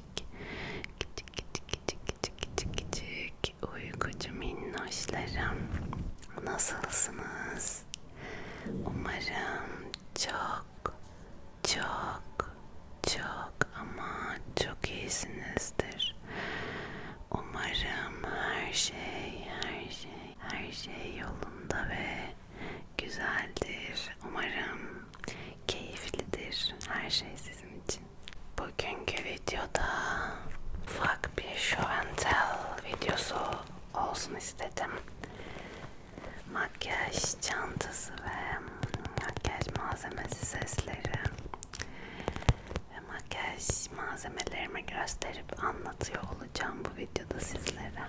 küçük küçük küçük küçük küçük küçük küçük uykucu minnoşlarım nasılsınız? Umarım çok çok çok ama çok iyisinizdir. Umarım her şey her şey her şey yolunda ve güzeldir. Umarım keyiflidir her şey sizin için. Bugünkü videoda ufak bir show and tell videosu olsun istedim. Makyaj çantası ve makyaj malzemesi sesleri ve makyaj malzemelerimi gösterip anlatıyor olacağım bu videoda sizlere.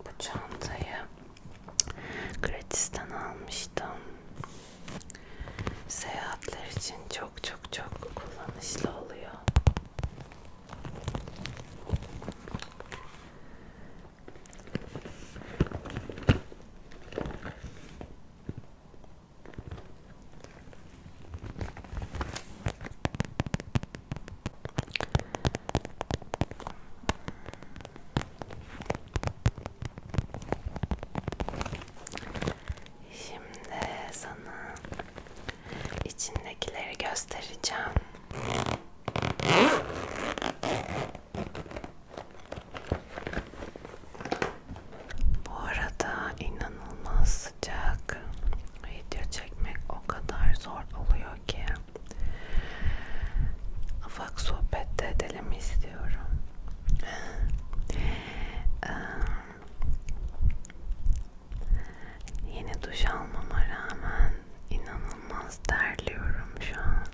Bu çantayı gratisten almıştım. Seyahatler için çok çok çok kullanışlı oluyor. Şimdi sana içindekileri göstereceğim. Bu arada inanılmaz sıcak video çekmek o kadar zor oluyor ki afak sohbette edelim istiyorum ee, yeni duş almama rağmen inanılmaz terliyorum şu an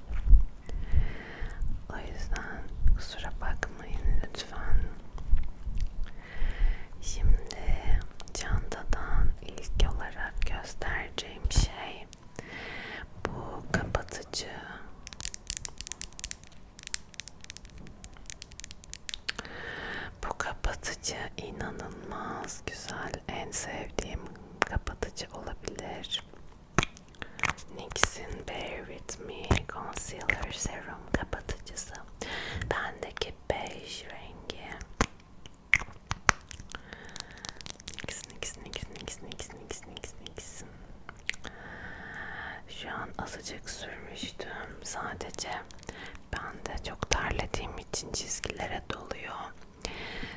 o yüzden kusura bakmayın lütfen Şimdi çantadan ilk olarak göstereceğim şey bu kapatıcı. Bu kapatıcı inanılmaz güzel. En sevdiğim kapatıcı olabilir. NYX'in Bear With Me Concealer Serum kapatıcısı. Bendeki bej rengi. İkisini ikisini ikisini ikisini ikisini ikisini ikisini ikisini. Şu an azıcık sürmüştüm. Sadece ben de çok terlediğim için çizgilere doluyor.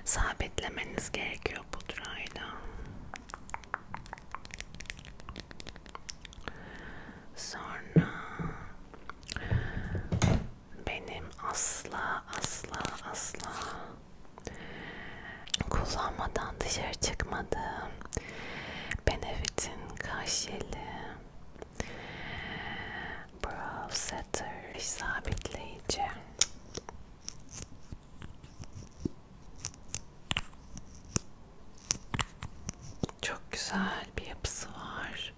Sabitlemeniz gerekiyor pudrayla. Sonra benim asla asla asla kullanmadan dışarı çıkmadığım Benefit'in karşılığı brow setter sabitleyici çok güzel bir yapısı var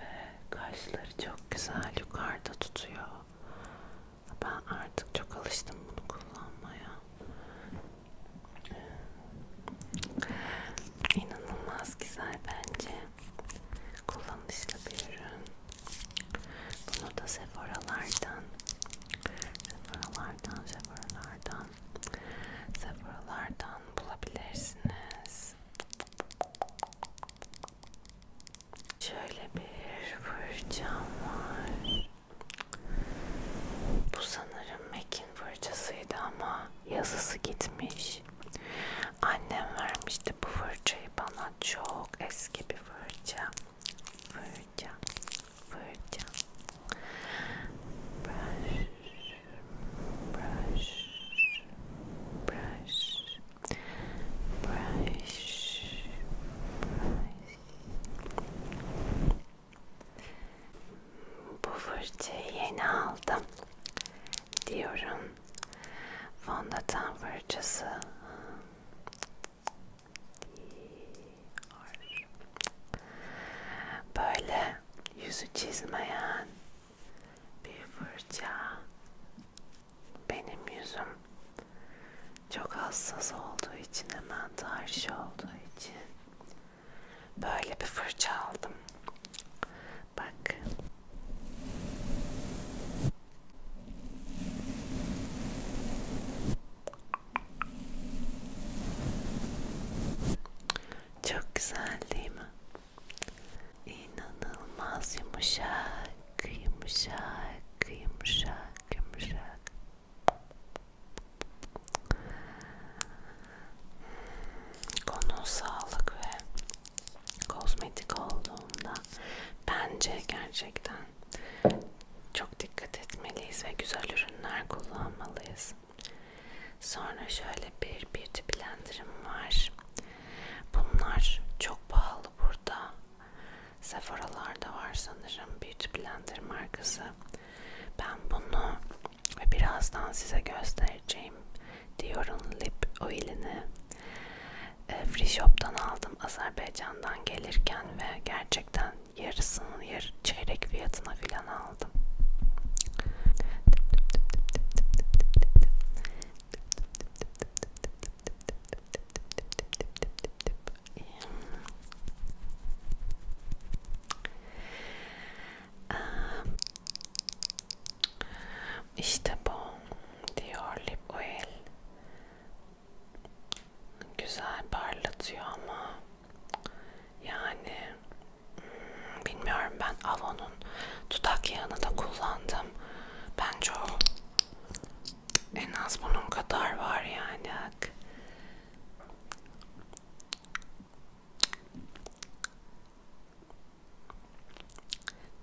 ve kaşları çok güzel yukarıda tutuyor. Ben artık çok alıştım bunu kullanmaya. İnanılmaz güzel bence. Kullanışlı bir ürün. Bunu da Sephora'lardan Sephora'lardan Sephora'lardan Sephora'lardan bulabilirsiniz. Şöyle bir fırçam var. Bu sanırım Mac'in fırçasıydı ama yazısı gitmiş. Annem vermişti bu fırçayı bana. Çok eski bir fırça. Fırça. Fırça. Ben brush, brush, brush, Bu fırçayı yeni aldım diyorum. Fondöten fırçası. Böyle yüzü çizmeyen bir fırça. Benim yüzüm çok hassas olduğu için hemen tarih olduğu için böyle bir fırça aldım. Bak. Çok güzel değil mi? İnanılmaz yumuşak, yumuşak, yumuşak, yumuşak. Konu sağlık ve kozmetik olduğunda bence gerçekten çok dikkat etmeliyiz ve güzel ürünler kullanmalıyız. Sonra şöyle bir beauty blenderım var. Bunlar çok pahalı burada. Sephora'larda var sanırım beauty blender markası. Ben bunu ve birazdan size göstereceğim Dior'un lip oilini e, Free Shop'tan aldım Azerbaycan'dan gelirken ve gerçekten yarısının yer çeyrek fiyatına filan aldım. İşte bu diyor lip oil. Güzel parlatıyor ama yani Bilmiyorum ben Avon'un dudak yağını da kullandım. Bence o en az bunun kadar var yani.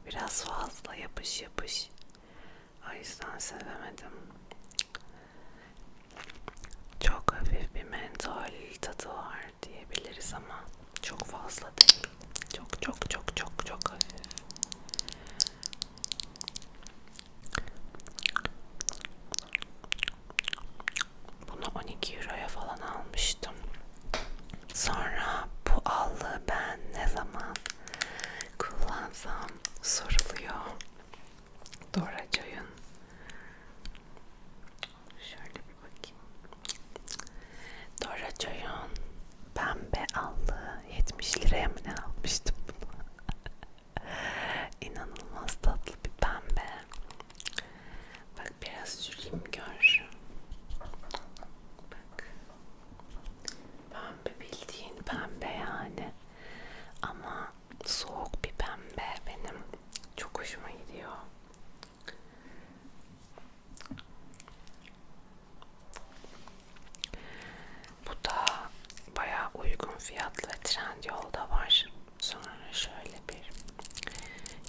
Biraz fazla yapış yapış. O yüzden sevemedim. Çok hafif bir mentol tadı var diyebiliriz ama çok fazla değil. Çok çok çok çok çok hafif. Bunu 12 euroya falan almıştım. Sonra bu allığı ben ne zaman kullansam soruluyor. Doracay'ın şöyle bir bakayım. Doracay'ın pembe allı 70 liraya mı ne almıştım bunu? İnanılmaz tatlı bir pembe. Bak biraz süreyim gör. Bak. Pembe bildiğin pembe yani. Ama soğuk bir pembe benim çok hoşuma gidiyor. Bu da bayağı uygun fiyatlı Trendyol'da var. Sonra şöyle bir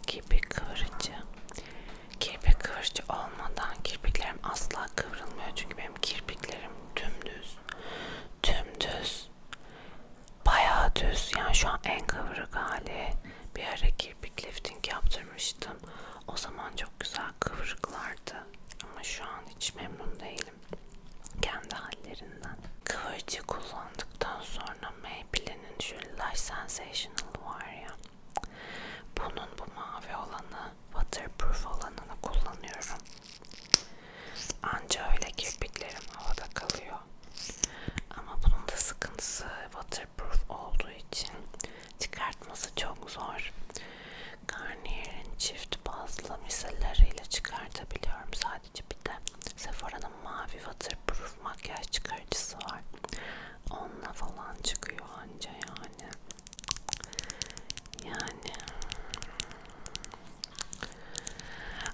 kirpi kıvırıcı. Kirpik kıvırıcı olmadan kirpiklerim asla kıvrılmıyor. Çünkü benim kirpiklerim dümdüz. Dümdüz bayağı düz yani şu an en kıvrık hali bir ara kirpik lifting yaptırmıştım o zaman çok güzel kıvrıklardı ama şu an hiç memnun değilim kendi hallerinden kıvırcı kullandıktan sonra Maybelline'in şu Lash Sensational var ya bunun bu mavi olanı waterproof olanını kullanıyorum Anca öyle kirpiklerim havada kalıyor. Ama bunun da sıkıntısı waterproof olduğu için çıkartması çok zor. Garnier'in çift bazlı misalleriyle çıkartabiliyorum sadece bir de Sephora'nın mavi waterproof makyaj çıkarıcısı var. Onunla falan çıkıyor anca yani. Yani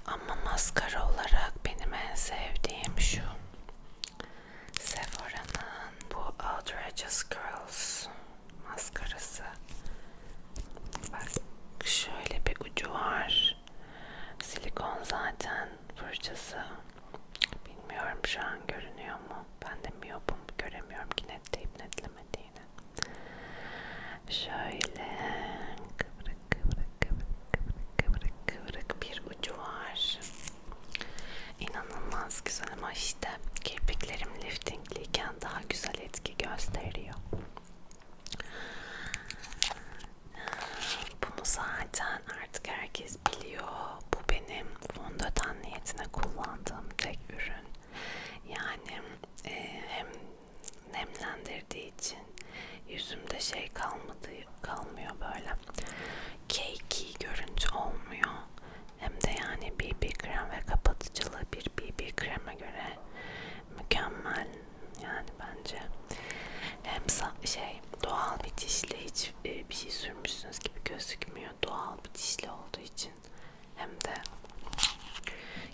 ama maskara olarak benim en sevdiğim şu Sephora'nın bu Outrageous Girls maskarası. Bak şöyle bir ucu var. Silikon zaten fırçası. Bilmiyorum şu an görünüyor mu? Ben de miyopum göremiyorum ki net deyip netlemediğini. Şöyle kıvrık kıvrık kıvrık kıvrık kıvrık kıvrık bir ucu var. İnanılmaz güzel ama işte kirpiklerim liftingliyken daha güzel etki gösteriyor. Bunu zaten artık herkes biliyor. Bu benim fondöten niyetine kullandığım tek ürün. Yani e, hem nemlendirdiği için yüzümde şey kalmadı kalmıyor böyle cakey görüntü olmuyor hem de yani BB krem ve kapatıcılı bir BB kreme göre mükemmel yani bence hem şey doğal bir dişle hiç e, bir şey sürmüşsünüz gibi gözükmüyor doğal bir dişle olduğu için hem de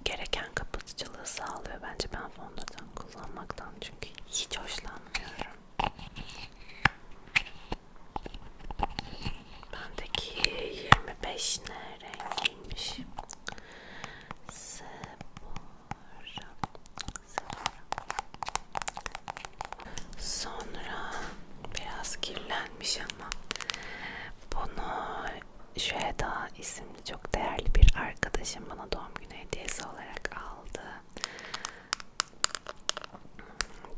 gereken kapatıcılığı sağlıyor. Bence ben fondöten kullanmaktan çünkü hiç hoşlanmıyorum. Bendeki 25 ne rengiymiş? Sephora. Sonra biraz kirlenmiş ama bunu Şüheda isimli çok değerli bir arkadaşım bana doğum günü hediyesi olarak aldı.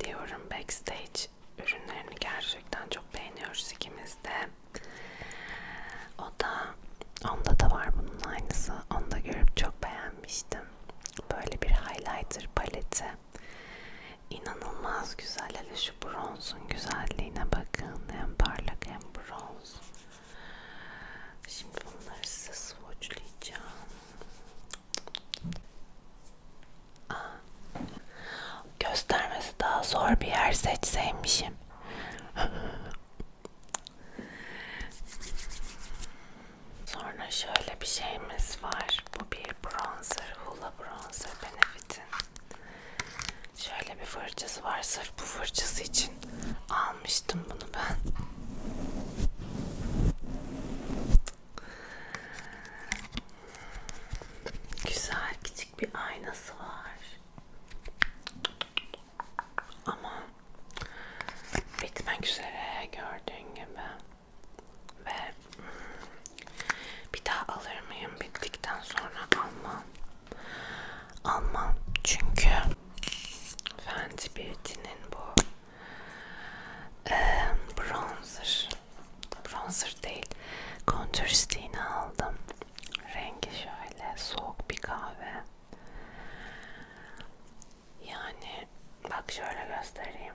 Diyorum backstage ürünlerini gerçekten çok beğeniyoruz ikimiz de. O da onda da var bunun aynısı. Onu da görüp çok beğenmiştim. Böyle bir highlighter paleti. İnanılmaz güzel. Hele şu bronzun güzelliğine bakın. Hem parlak hem bronz. Şimdi bunları size swatchlayacağım. Aa, göstermesi daha zor bir yer seçseymişim. Sonra şöyle bir şeyimiz var. Bu bir bronzer. Hula bronzer Benefit'in. Şöyle bir fırçası var. Sırf bu fırçası için almıştım bunu ben. Güzel küçük bir aynası var. Ama bitmek üzere gördüğün gibi. Ve bir daha alır mıyım? Bittikten sonra almam almam çünkü Fenty Beauty'nin bu e, bronzer bronzer değil kontür stiğini aldım rengi şöyle soğuk bir kahve yani bak şöyle göstereyim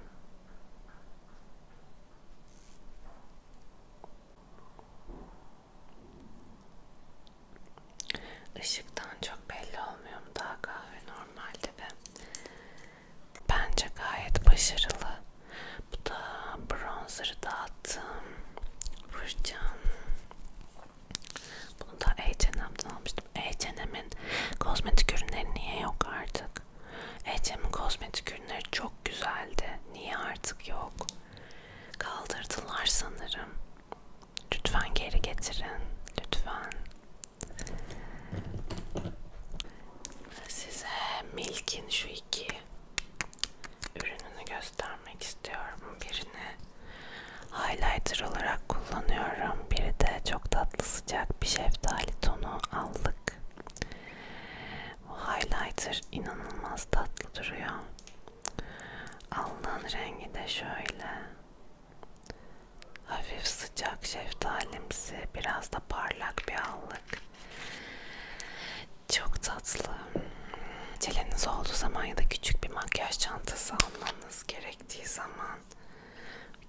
Işıktan çok belli olmuyor mu daha kahve normalde ve bence gayet başarılı. Bu da bronzer'ı dağıttım. Burcan. Bunu da H&M'den almıştım. H&M'in kozmetik ürünleri niye yok artık? H&M'in kozmetik ürünleri çok güzeldi. Niye artık yok? Kaldırdılar sanırım. Lütfen geri getirin. Lütfen. Size Milk'in şu iki ürününü göstermek istiyorum. Birini highlighter olarak kullanıyorum. Biri de çok tatlı sıcak bir şeftali tonu allık. Bu highlighter inanılmaz tatlı duruyor. Alnın rengi de şöyle. Hafif sıcak şeftalimsi, biraz da parlak bir allık. Çok tatlı. Çeleniz olduğu zaman ya da küçük bir makyaj çantası almanız gerektiği zaman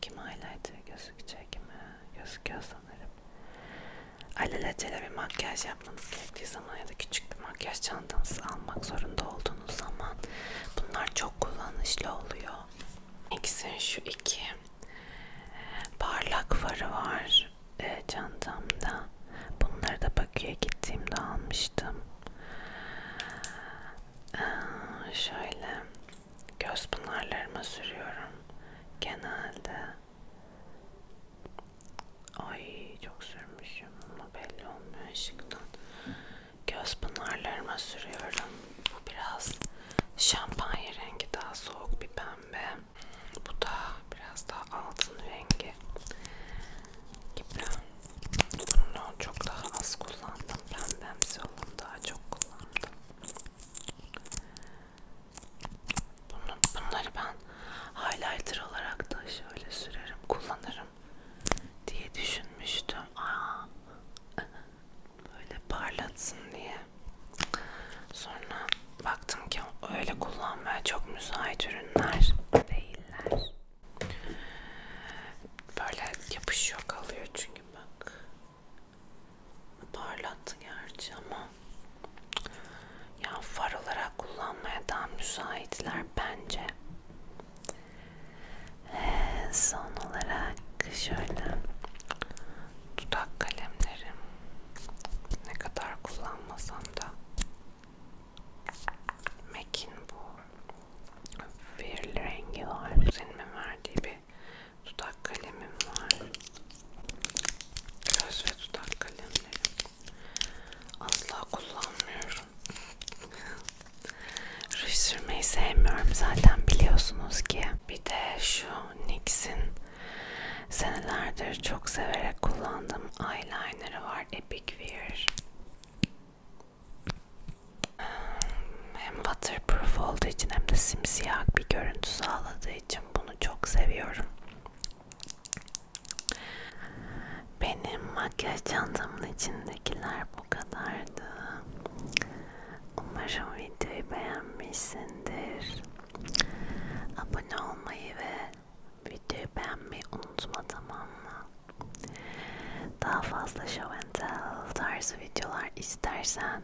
kim highlighter gözükecek mi? Gözüküyorsa sanırım. Alelacele bir makyaj yapmanız gerektiği zaman ya da küçük bir makyaj çantanızı almak zorunda olduğunuz zaman bunlar çok kullanışlı oluyor. İkisinin şu iki e, parlak farı var e, çantamda. Bunları da Bakü'ye gittiğimde almıştım. Ee, şöyle göz pınarlarıma sürüyorum genelde Ay çok sürmüşüm ama belli olmuyor ışıktan. Göz pınarlarıma sürüyorum. Bu biraz şampanya rengi daha soğuk bir pembe. Bu da biraz daha altın rengi gibi. Bunu çok daha az kullandım. Pembemsi olanı daha çok kullandım. Bunu, bunları ben highlighter olarak da şöyle sürerim, kullanırım diye düşünmüştüm. Aa, böyle parlatsın diye. Sonra baktım ki öyle kullanmaya çok müsait ürünler değiller. Böyle yapışıyor kalıyor çünkü bak. Parlattı gerçi ama yani far olarak kullanmaya daha müsaitler bence. Ee, son olarak şöyle dudak kalemlerim ne kadar kullanmasam da Mac'in bu birli rengi var. Senin verdiği bir dudak kalemim var. Göz ve dudak kalemleri asla kullanmıyorum. Ruj sürmeyi sevmiyorum zaten biliyorsunuz ki. Bir de şu NYX'in senelerdir çok severek kullandığım eyeliner'ı var. Epic Wear. Hem waterproof olduğu için hem de simsiyah bir görüntü sağladığı için bunu çok seviyorum. Benim makyaj çantamın içindekiler bu kadardı. Umarım videoyu beğenmişsindir. Abone olmayı ve videoyu beğenmeyi unutma tamam mı? Daha fazla show and tell tarzı videolar istersen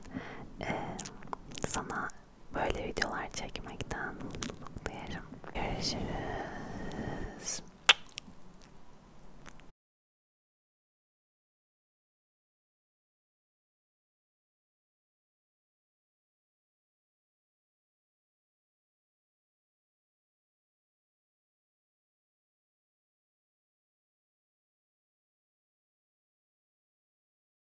e, sana böyle videolar çekmekten mutluluk duyarım. Görüşürüz.